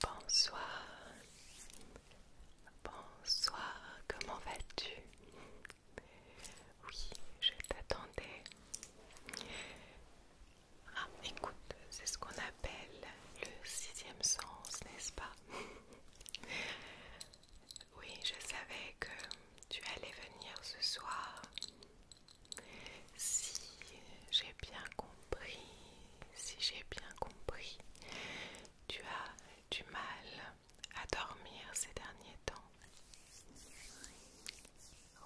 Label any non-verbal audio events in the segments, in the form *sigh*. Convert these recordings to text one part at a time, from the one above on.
Bonsoir. Bonsoir, comment vas-tu Oui, je t'attendais. Ah, écoute, c'est ce qu'on a le sixième sens, n'est-ce pas *laughs* Oui, je savais que tu allais venir ce soir. Si j'ai bien compris, si j'ai bien compris, tu as du mal à dormir ces derniers temps.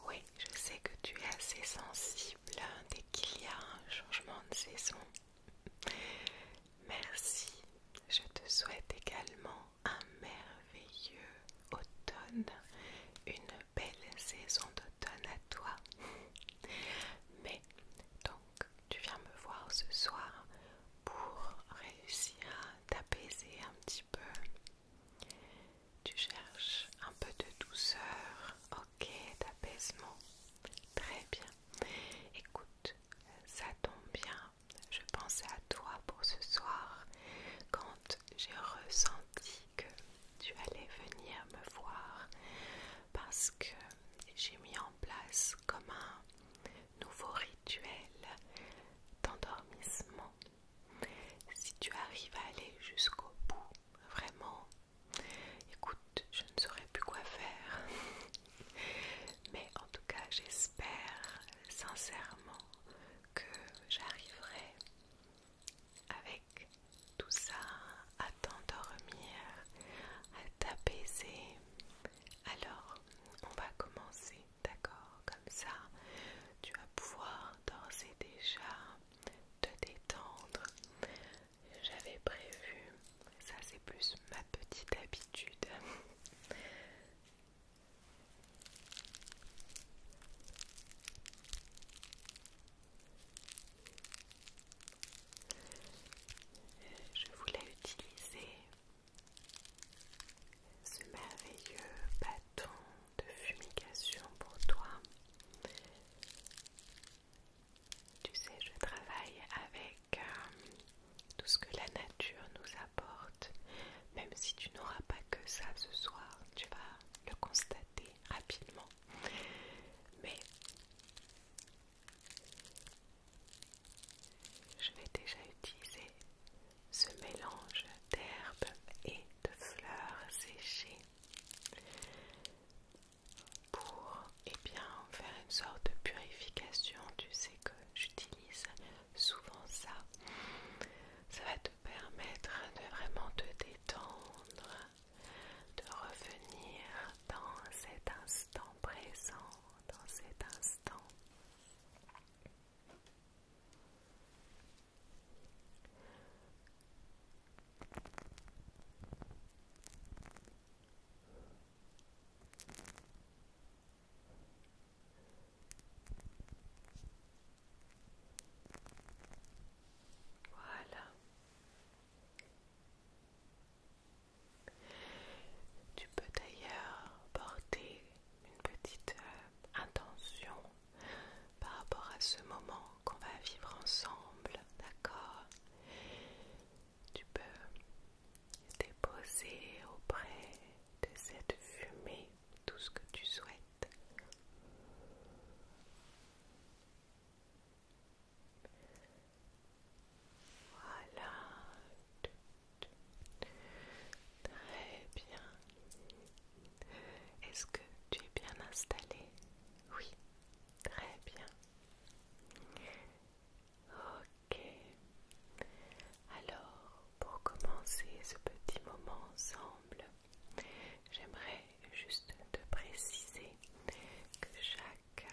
Oui, je sais que tu es assez sensible hein, dès qu'il y a un changement de saison. Merci, je te souhaite également un merveilleux automne, une belle saison d'automne à toi. Mais donc, tu viens me voir ce soir pour réussir à t'apaiser un petit peu. Tu cherches un peu de douceur. Ok, d'apaisement. Très bien. Écoute, ça tombe bien. Je pensais à toi pour ce soir quand j'ai ressenti que tu allais venir me voir parce que j'ai mis en place comme un nouveau rituel d'endormissement. Si tu arrives à aller jusqu'au bout, vraiment Écoute, je ne saurais plus quoi faire. *laughs* Mais en tout cas, j'espère sincèrement que j'arriverai avec tout ça à t'endormir, à t'apaiser. Alors, on va commencer, d'accord Comme ça, tu vas pouvoir d'ores et déjà te détendre j'avais prévu, ça c'est plus ma petite habitude. Je voulais utiliser ce merveilleux bâton de fumigation pour toi tu sais, je travaille avec euh, tout ce que la nature nous apporte. Même si tu n'auras pas que ça ce soir, tu vas le constater rapidement. Mais je vais déjà utiliser ce mélange d'herbes et de fleurs séchées pour et eh bien, faire une sorte de purification. Tu sais que j'utilise souvent ça. Ça va te permettre de vraiment te détendre, de revenir dans cet instant présent, dans cet instant. Voilà. Tu peux d'ailleurs porter une petite euh, intention par rapport à ce moment qu'on va vivre ensemble, d'accord Tu peux déposer auprès de cette fumée tout ce que tu souhaites. Voilà. Très bien. Est-ce que tu es bien installé Oui. Très bien. Ok. Alors, pour commencer ce petit moment ensemble, j'aimerais juste te préciser que chaque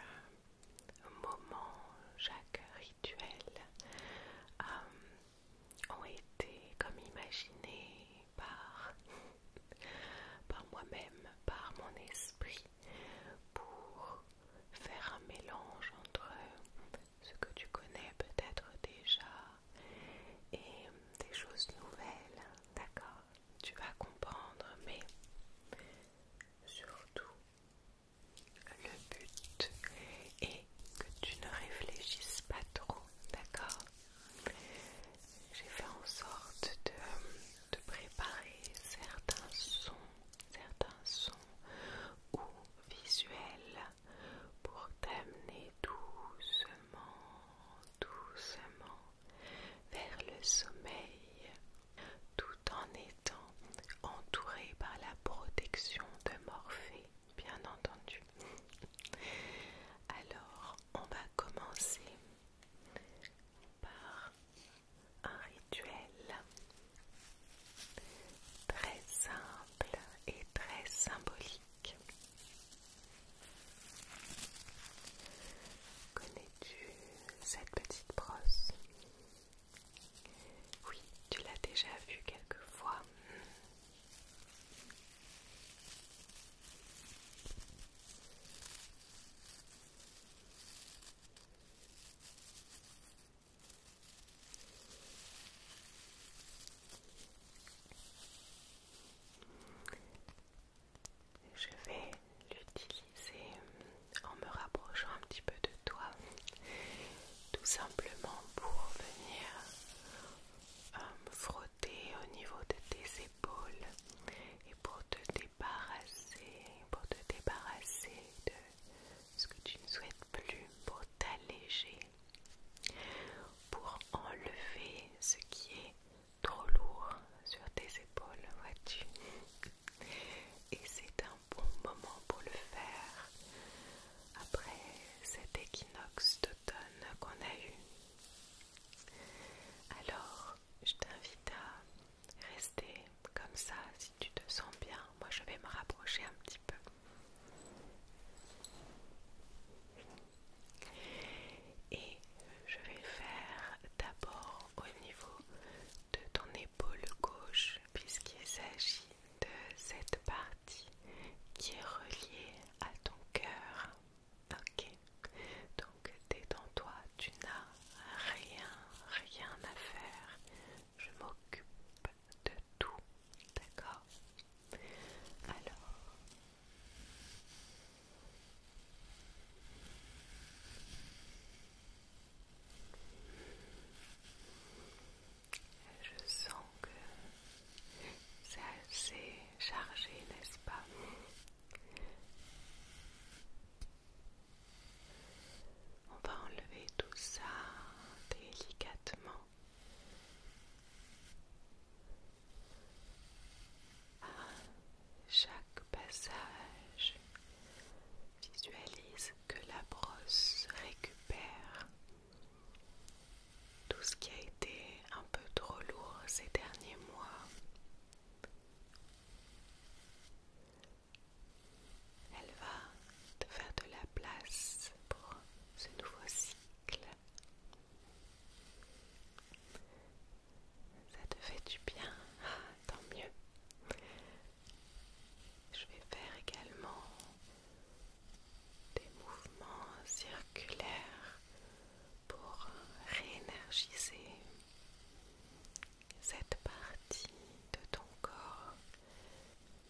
euh, moment, chaque rituel euh, ont été comme imaginés par par moi-même, par mon esprit, pour faire un mélange entre ce que tu connais peut-être déjà et des choses nouvelles, d'accord Tu vas comprendre, mais surtout, le but est que tu ne réfléchisses pas trop, d'accord j'ai fait en sorte de, préparer certains sons, certains sons ou visuels pour t'amener doucement, doucement vers le sommeil tout en étant entouré par la protection de Morphée, bien entendu. Alors, on va commencer par un rituel très simple et très symbolique. Connais-tu cette petite brosse Oui, tu l'as déjà vue quelquefois. Je vais l'utiliser en me rapprochant un petit peu de toi, tout simplement pour venir euh, me frotter au niveau de tes épaules et pour te débarrasser, pour te débarrasser de ce que tu ne souhaites plus, pour t'alléger, pour enlever ce qui est trop lourd sur tes épaules, vois-tu Et c'est un bon moment pour le faire après cet équinoxe d'automne qu'on a eu. Alors, je t'invite à rester comme ça si tu te sens bien. Moi, je vais me rapprocher un petit peu. Et je vais faire d'abord au niveau de ton épaule gauche, puisqu'il s'agit de cette partie qui est reliée à ton cœur. Ok, donc détends-toi, tu n'as rien, rien à faire. Je m'occupe de tout, d'accord Alors, je sens que c'est assez chargé, n'est-ce pas on va enlever tout ça délicatement. chaque passage, visualise que la brosse récupère tout ce qui a été un peu trop lourd ces derniers mois elle va te faire de la place pour ce nouveau cycle. Ça te fait du bien, ah, tant mieux. Je vais faire également des mouvements circulaires pour réénergiser cette partie de ton corps,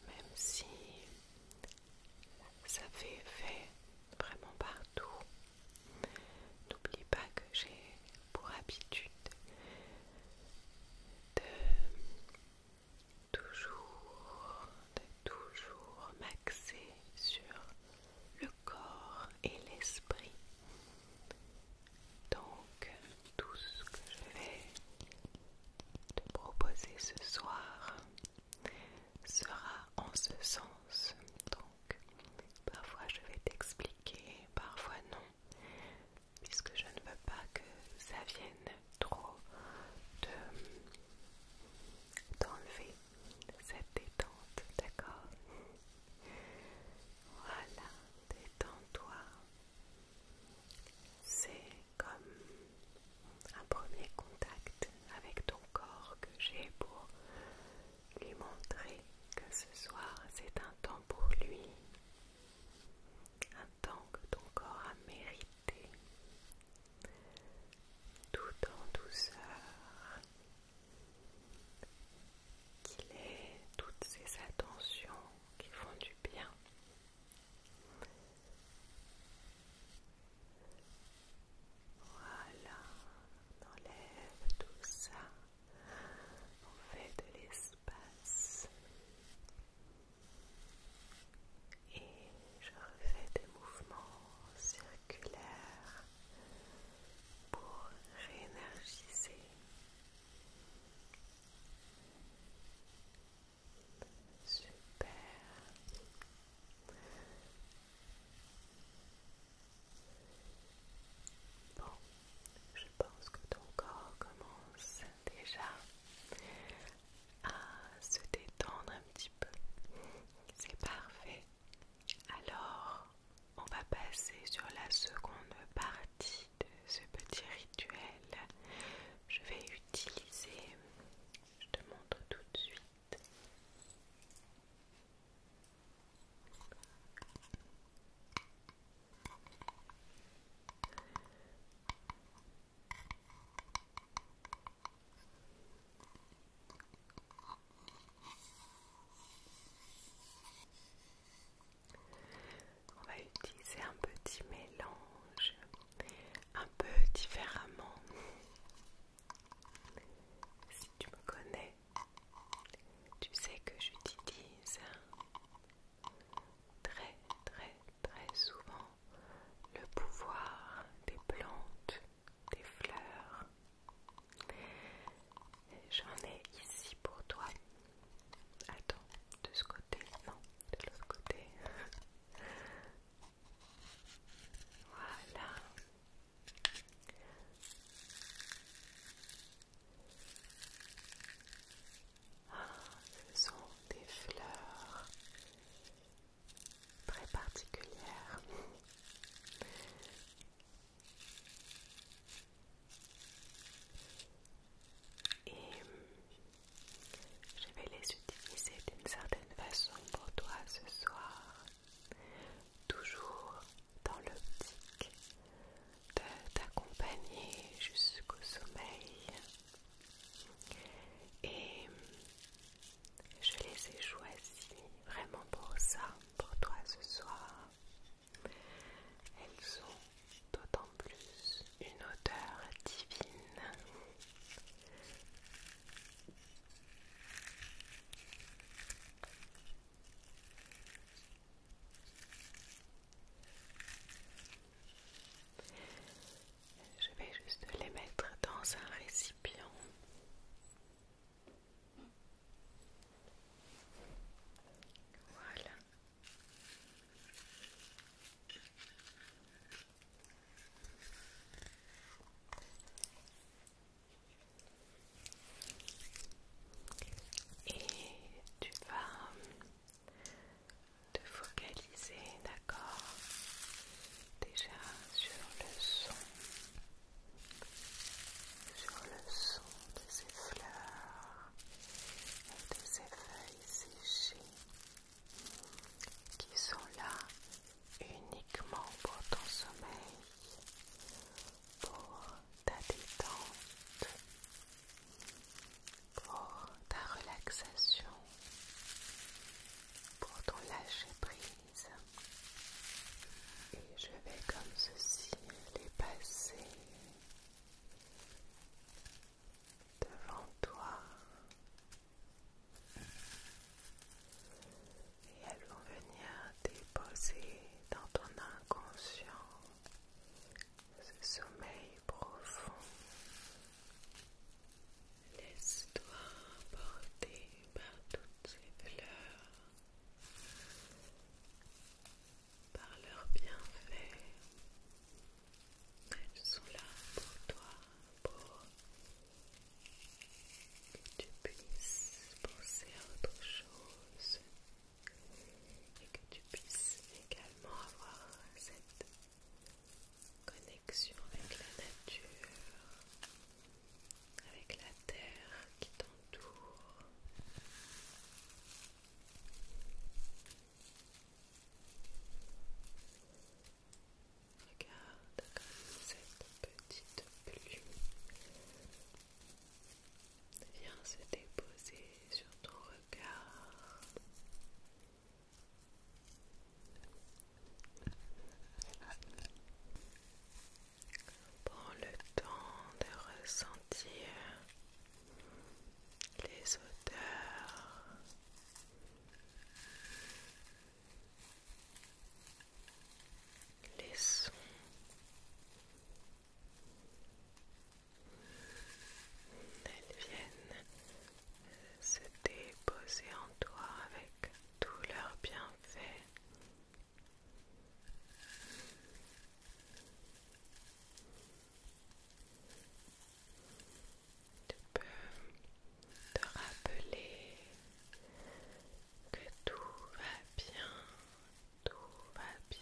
même si ça fait effet vraiment partout. N'oublie pas que j'ai pour habitude de toujours, de toujours m'axer sur le corps et l'esprit. Donc, tout ce que je vais te proposer ce soir sera en ce sens. Donc, parfois je vais t'expliquer, parfois non, puisque je ne veux pas que ça vienne trop de t'enlever cette détente, d'accord voilà, détends-toi. C'est comme un premier contact avec ton corps que j'ai pour lui montrer que ce soir c'est un temps pour lui, un temps que ton corps a mérité, tout en douceur, qu'il ait toutes ces attentions qui font du bien. Voilà, on enlève tout ça, on fait de l'espace et je refais des mouvements circulaires pour réénergiser super bon je pense que ton corps commence déjà à se détendre un petit peu c'est parfait alors, on va passer sur la seconde partie de ce petit rituel. Je vais utiliser, je te montre tout de suite. On va utiliser un petit mélange un peu différemment. Si tu me connais, tu sais que j'utilise très très très souvent le pouvoir des plantes, des fleurs J'en ai ici pour toi. Attends, de ce côté, non, de l'autre côté. *laughs* voilà. Ah, ce sont des fleurs très particulières. Et je vais les utiliser d'une certaine façon pour toi ce soir, toujours dans l'optique de t'accompagner jusqu'au sommeil. Et je les ai choisis vraiment pour ça, pour toi ce soir. Elles ont d'autant plus une odeur divine. Je vais juste les mettre dans un récipient. Voilà. Et tu vas euh, te focaliser, d'accord Déjà sur le son sur le son de ces fleurs et de ces feuilles séchées qui sont là uniquement pour ton sommeil, pour ta détente, pour ta relaxation, pour ton lâcher-prise et je vais comme ceci les passer devant toi et elles vont venir déposer dans ton inconscient ce sommeil profond. Laisse-toi porter par toutes ces fleurs par leur bienfait. Elles sont là pour toi, pour que tu puisses penser à autre chose et que tu puisses également avoir cette connexion avec la nature avec la terre qui t'entoure. Regarde cette petite plume vient se déposer sur ton regard. Prends le temps de ressentir les odeurs. Les sons. Elles viennent se déposer en toi avec tout leur bienfaits tu peux te rappeler que tout va bien, tout va bien,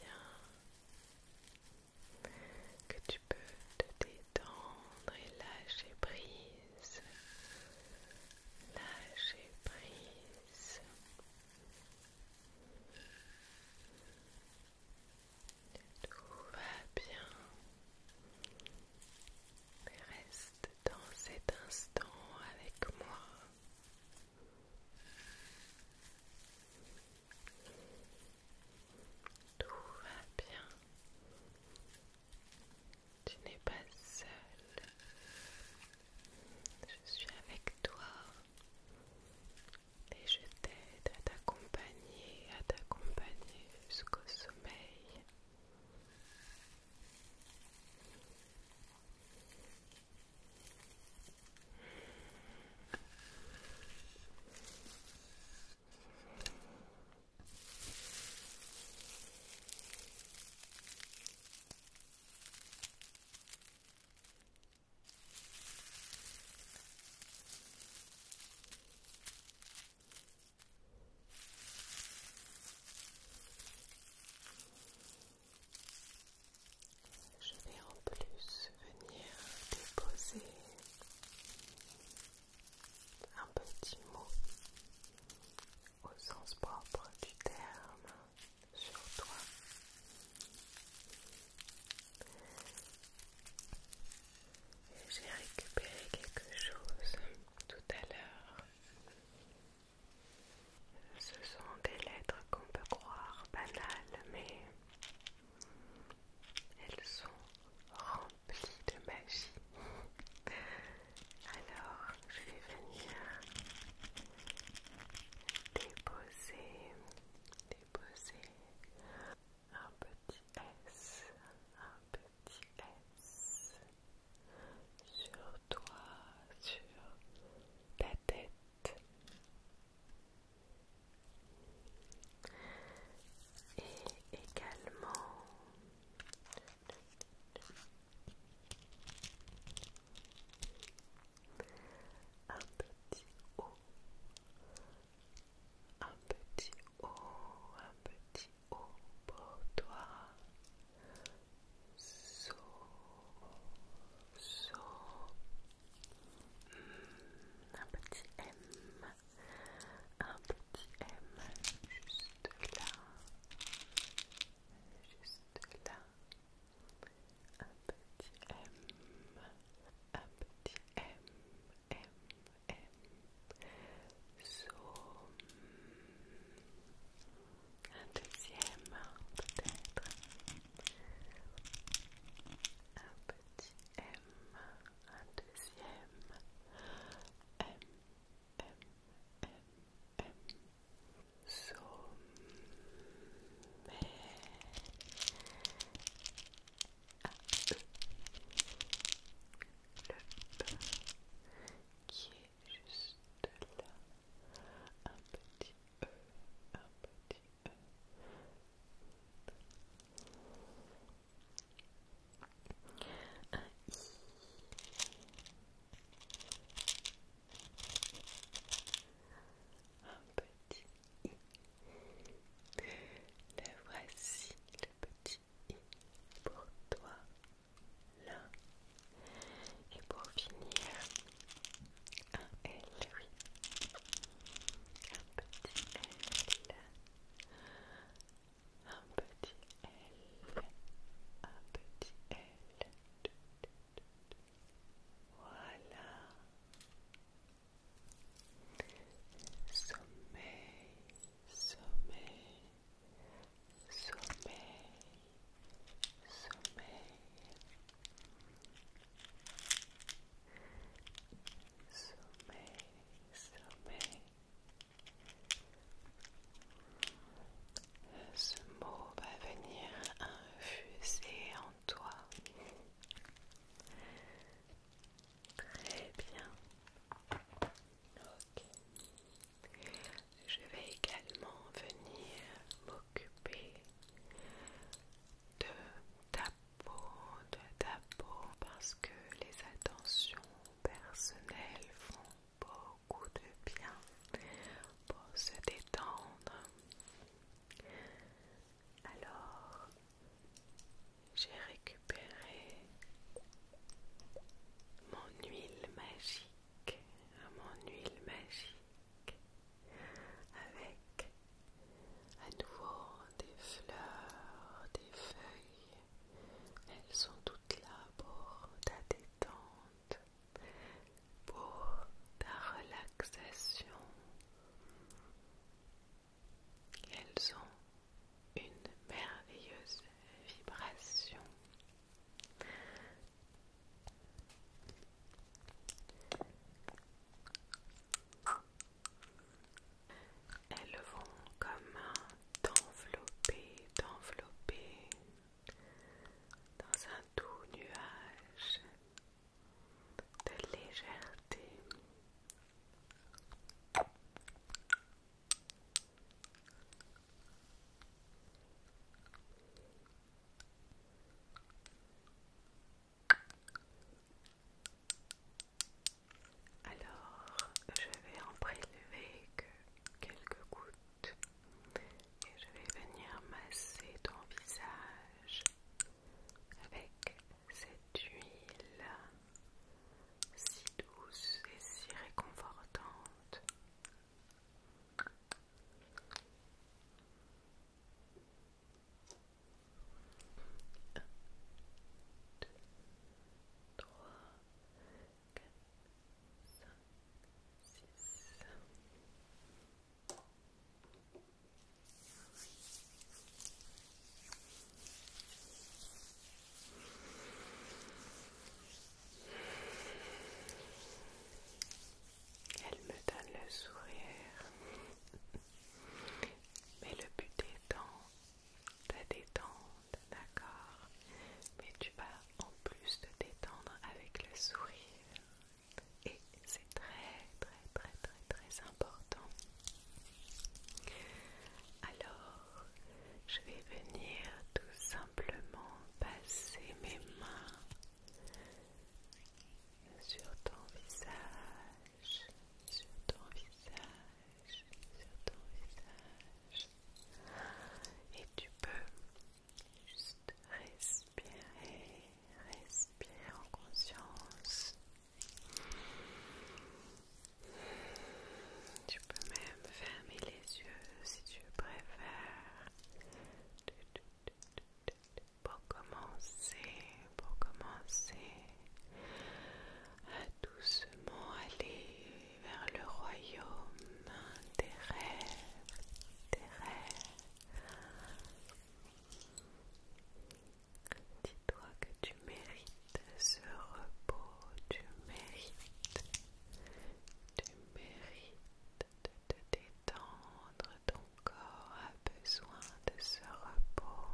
que tu peux te détendre et lâcher prise, lâcher prise. Tout va bien. Reste dans cet instant avec moi. Tout va bien. Tu n'es pas seul. Je suis avec toi et je t'aide à t'accompagner, à t'accompagner jusqu'au sommeil. Je vais en plus venir déposer un petit mot au sens propre du terme sur toi. J'ai récupéré quelque chose tout à l'heure. Ce sont des lettres qu'on peut croire banales, mais elles sont remplies de magie. Alors, je vais venir déposer, déposer un petit S, un petit S sur toi, sur ta tête. Et également un petit O, un petit O, un petit O pour toi. So, so. Hmm, un petit M, un petit M juste là, juste là un petit M, un petit M, M, M, un deuxième peut-être, un petit M, un deuxième M, M, M, M, So qui est juste là. Un petit E, un petit E. Un un petit i. Le voici, le petit i pour toi, là. Et pour finir, un L, petit L. Un petit L. Un petit L. Un petit L. Voilà. Sommeil, sommeil, sommeil, sommeil. Sommeil, sommeil. Ce mot va venir infuser en toi. Très bien. Ok. Je vais également venir m'occuper de ta peau, de ta peau, parce que les attentions personnelles font beaucoup de bien pour se détendre. Alors, j'ai récupéré mon huile magique, mon huile magique avec à nouveau des fleurs, des feuilles. Elles sont toutes là pour ta détendre pour ta relaxation. Elles ont une merveilleuse vibration. Elles vont comme t'envelopper, t'envelopper, dans un doux nuage de légèreté. Alors, je vais en prélever quelques gouttes et je vais venir masser ton visage avec cette huile si douce et si réconfortante. Elle me donne le sourire. Mais le but étant de détendre, d'accord Mais tu vas en plus te détendre avec le sourire et c'est très très très très très important. Alors, je vais venir tout simplement passer mes mains sur ton visage, sur ton visage, sur ton visage. Et tu peux Juste respirer, respirer en conscience. Tu peux même fermer les yeux si tu préfères. Pour commencer, pour commencer à doucement aller vers le royaume des rêves, des rêves. Dis-toi que tu mérites ce repos, tu mérites, tu mérites de te détendre, ton corps a besoin de ce repos.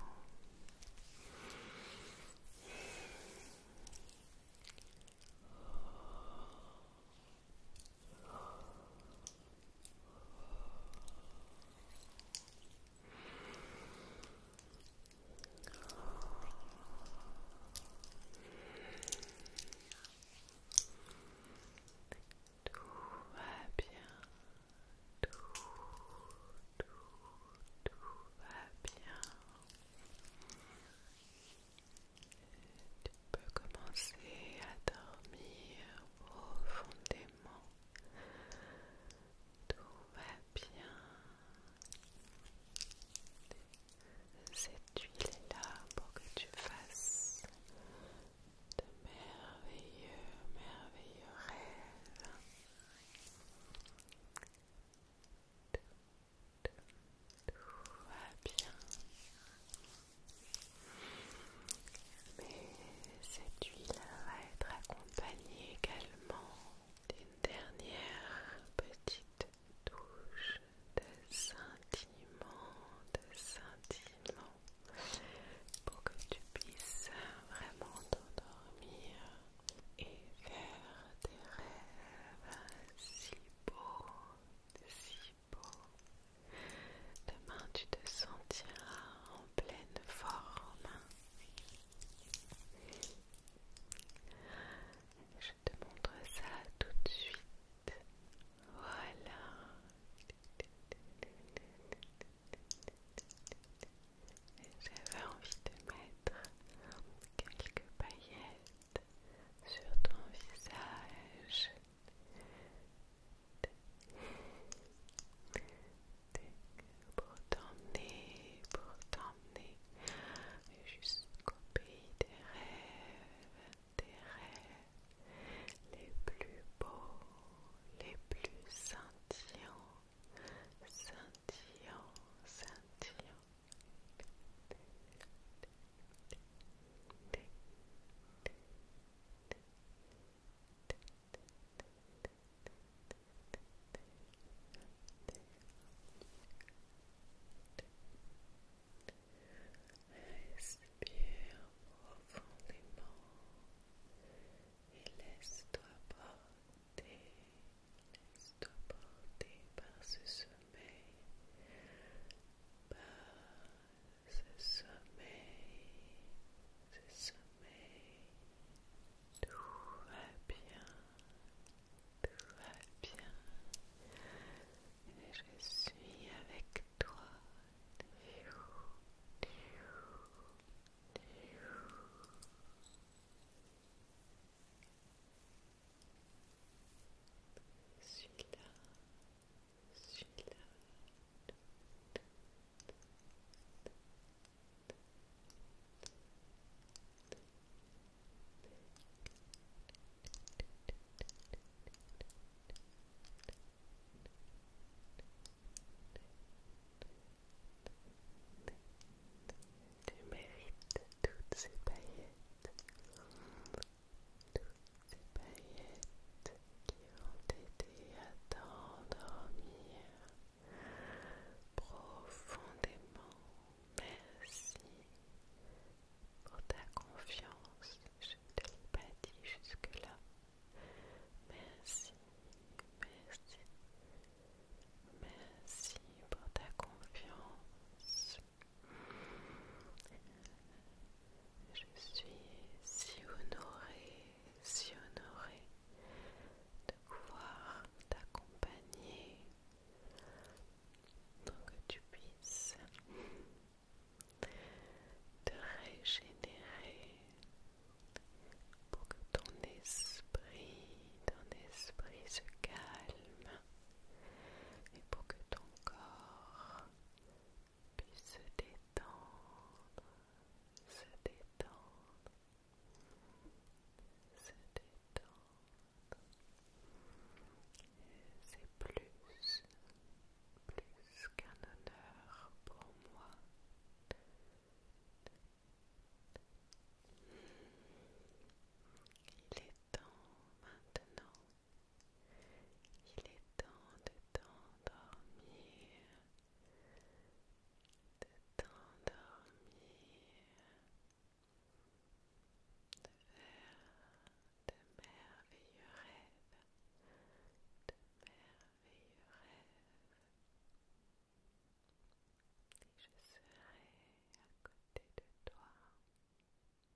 Tout va bien, tout, tout, tout va bien. Tu peux commencer à dormir profondément. Tout va bien. Cette huile est là pour que tu fasses de merveilleux, merveilleux rêves. Tout va bien. Mais cette huile va être accompagnée également d'une dernière petite douche de sentiment, de sentiment, pour que tu puisses vraiment t'endormir et faire des rêves si beaux, si Demain, tu te sentiras en pleine forme. Je te montre ça tout de suite. Voilà. J'avais envie de mettre quelques paillettes sur ton visage. Pour t'emmener, pour t'emmener jusqu'au pays des rêves, des rêves les plus beaux, les plus scintillants, scintillants, scintillants. Respire profondément et laisse-toi porter, laisse-toi porter par ce sommeil, ce sommeil, ce sommet, tout va bien, tout va bien, et je suis avec toi. Je là, celui-là. Tu mérites toutes toutes ces paillettes qui ont été à t'endormir profondément. Merci pour ta confiance, je ne t'ai pas dit jusque-là. Merci, merci, merci pour ta confiance. Je suis si honorée, si honorée de pouvoir t'accompagner pour que tu puisses te régénérer, pour que ton esprit, ton esprit se calme et pour que ton corps puis se détendre, se détendre, se détendre. C'est plus, plus qu'un honneur pour moi. Il est temps maintenant il est temps de t'endormir, de t'endormir, de faire de merveilleux rêves, de merveilleux rêves. Et je serai à côté de toi.